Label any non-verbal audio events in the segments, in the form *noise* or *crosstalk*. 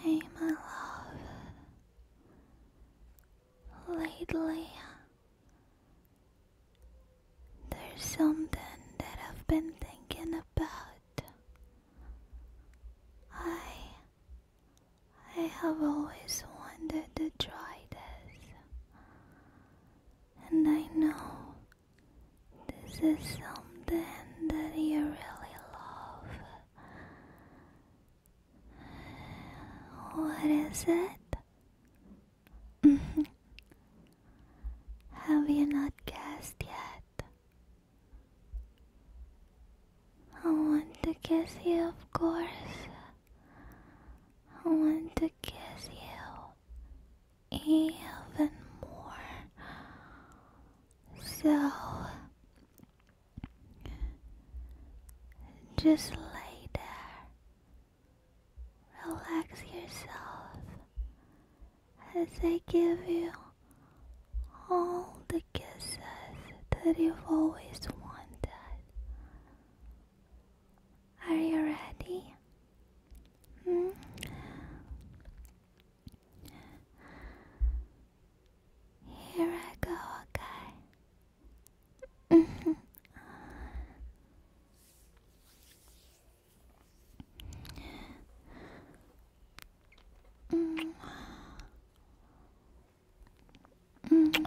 Hey, my love. Lately, there's something that I've been thinking about. I. I have always wanted to try this, and I know this is something that you really love. What is it? *laughs* Have you not guessed yet? I want to kiss you, of course. I want to kiss you even more. So just lay there, relax yourself as I give you all the kisses that you've always wanted. Are you ready? Mm. Here I go, okay. mm. Mm.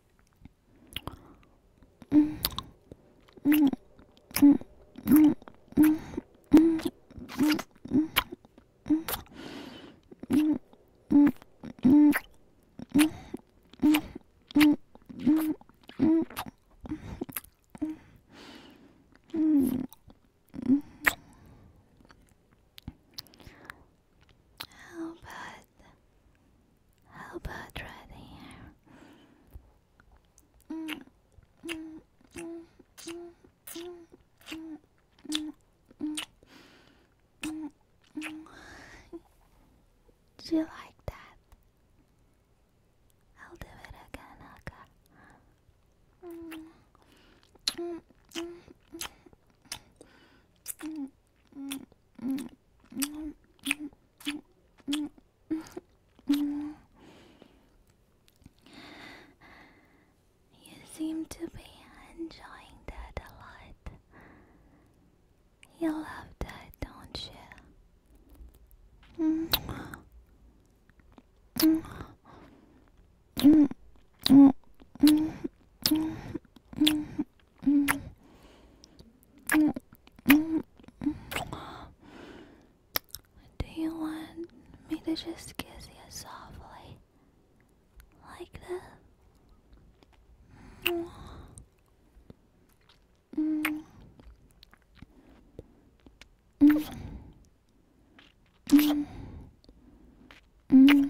How about how about right here? Mm, mm, mm, mm, mm, mm, mm, mm, mm, mm. Do you like that? I'll do it again, okay? Mm, mm, mm, mm, mm, mm. You seem to be enjoying that a lot. You love that, don't you? Do you want me to just kiss you softly? Like that? Mm. Mm. Mm.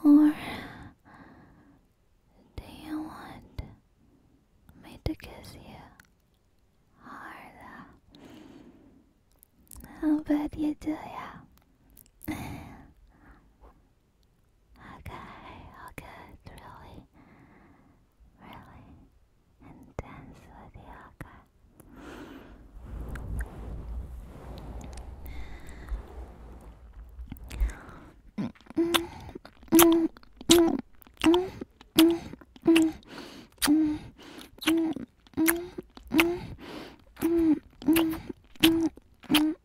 Or do you want me to kiss you harder? I'll you do, yeah. Okay, okay, it's really, really intense with the okay. *laughs*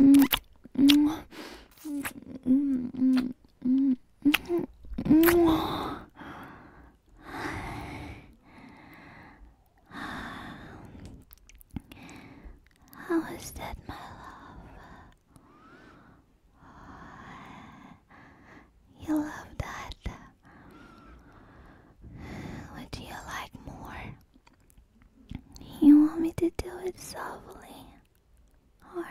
How is that, my love? You love that. What do you like more? You want me to do it softly, or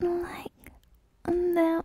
like that?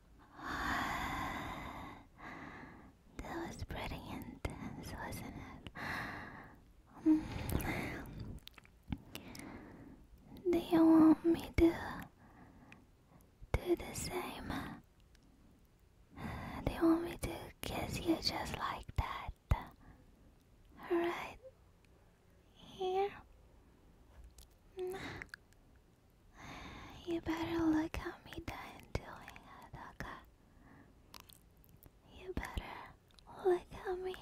*sighs* that was pretty intense, wasn't it? Do want me to do the same? Do want me to kiss you just like that? Right here? You better look at me done doing, Adaka. You better look how me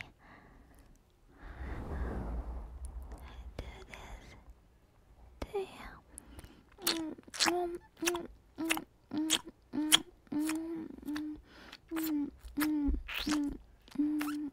do this to you. Mm -mm -mm -mm -mm -mm -mm -mm -mm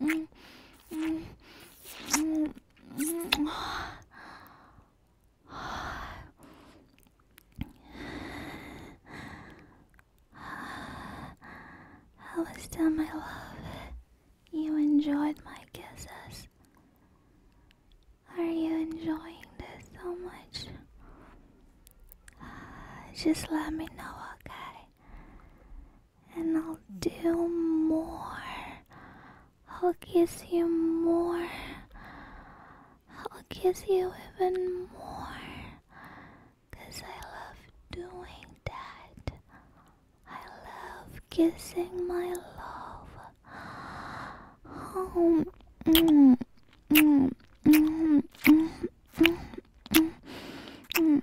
I was done, my love? You enjoyed my kisses. Are you enjoying this so much? Just let me know, okay? and I'll do more. I'll kiss you more. I'll kiss you even more. Cause I love doing that. I love kissing my love. Oh, mm, mm, mm,